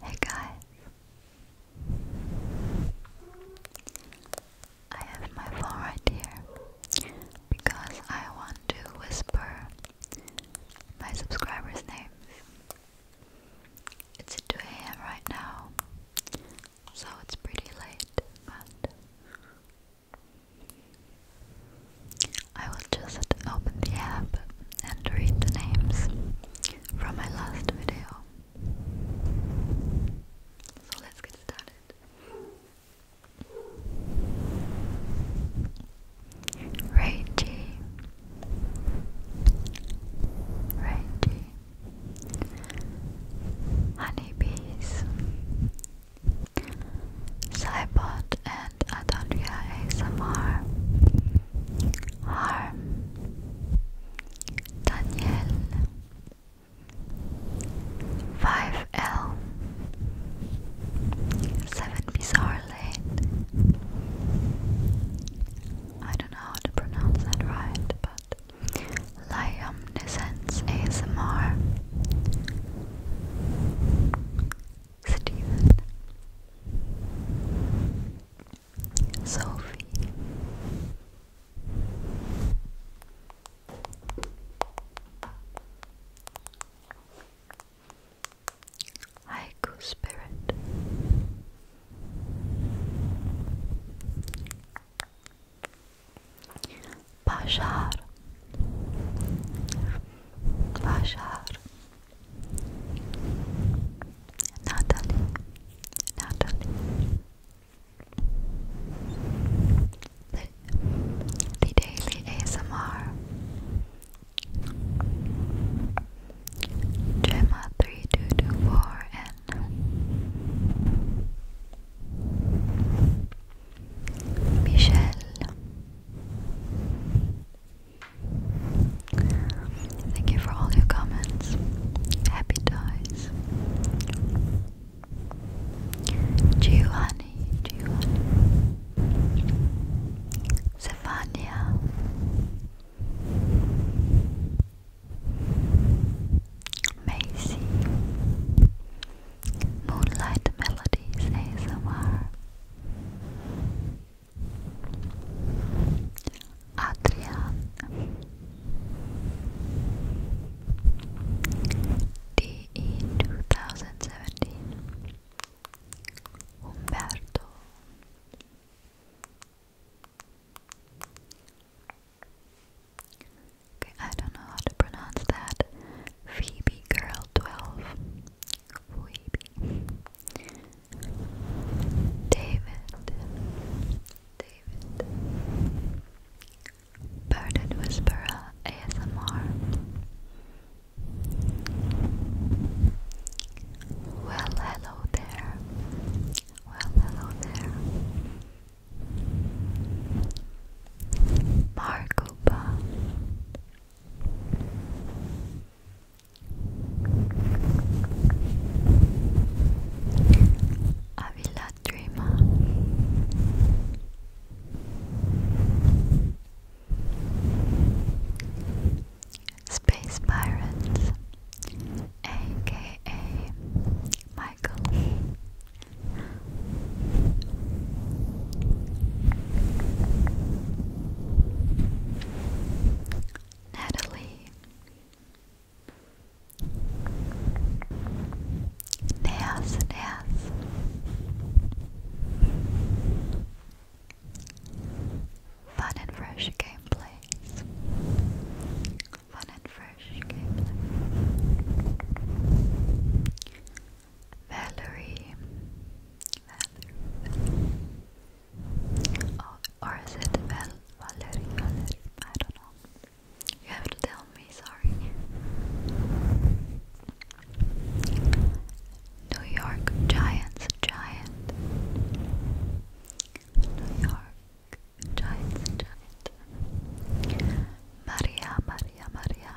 Hey guys, I have my phone right here because I want to whisper my subscribers' names. It's 2 a.m. right now, so it's pretty late, but I will just open the app and read the names from my last video. So let's get started. Ray G. Honeybees Cybot and Adandria ASMR Harm Daniel 5L 7 Bizarre Lane I don't know how to pronounce that right, but Liamnescence ASMR Stephen, Sophie. Haiku Spirit Bashar Bashar Natalie Natalie the, Daily ASMR Gemma 3224 and Michel Thank you for all your comments. Happy dies. Giovanni, Giovanni. Stefania. Macy Moonlight Melodies ASMR Adrian DE 2017 Umberto Okay, I don't know how to pronounce that. Phoebe Girl 12 Weeby. David. David. Birded Whisperer ASMR. Well, hello there. Well, hello there. Marco Avila Dreamer Space Pirates aka Michael Natalie Nails, Nails Fun and fresh gameplays Fun and fresh gameplay Valerie. Oh, or is it Val Valerie? Valerie? I don't know. You have to tell me, sorry. New York Giants, Giant. New York Giants, Giant. Maria, Maria, Maria.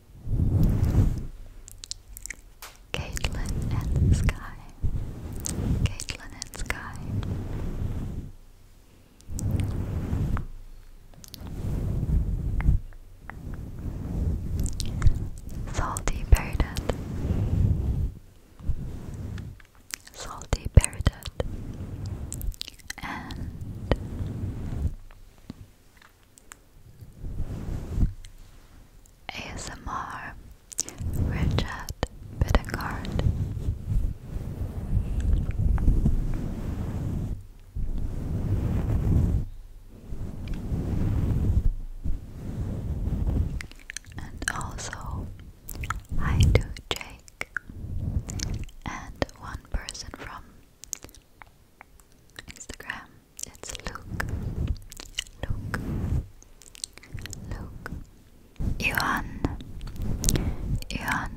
Caitlin and Sky. Caitlin and Sky. Salty Parrot. Salty Parrot. And ASMR Richard Bittencourt and also I do Jake and one person from Instagram it's Luke. Luke. Luke. Johan. Johan.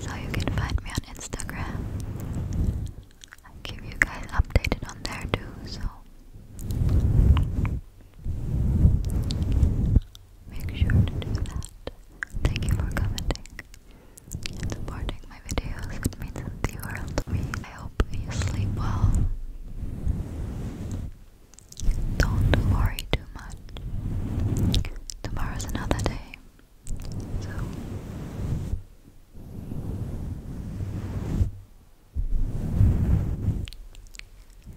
So you can find me on Instagram. I keep you guys updated on there too, so make sure to do that. Thank you for commenting supporting my videos. means the world to me. I hope you sleep well. Don't worry too much. Tomorrow's another day. So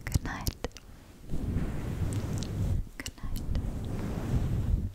Good night. Good night.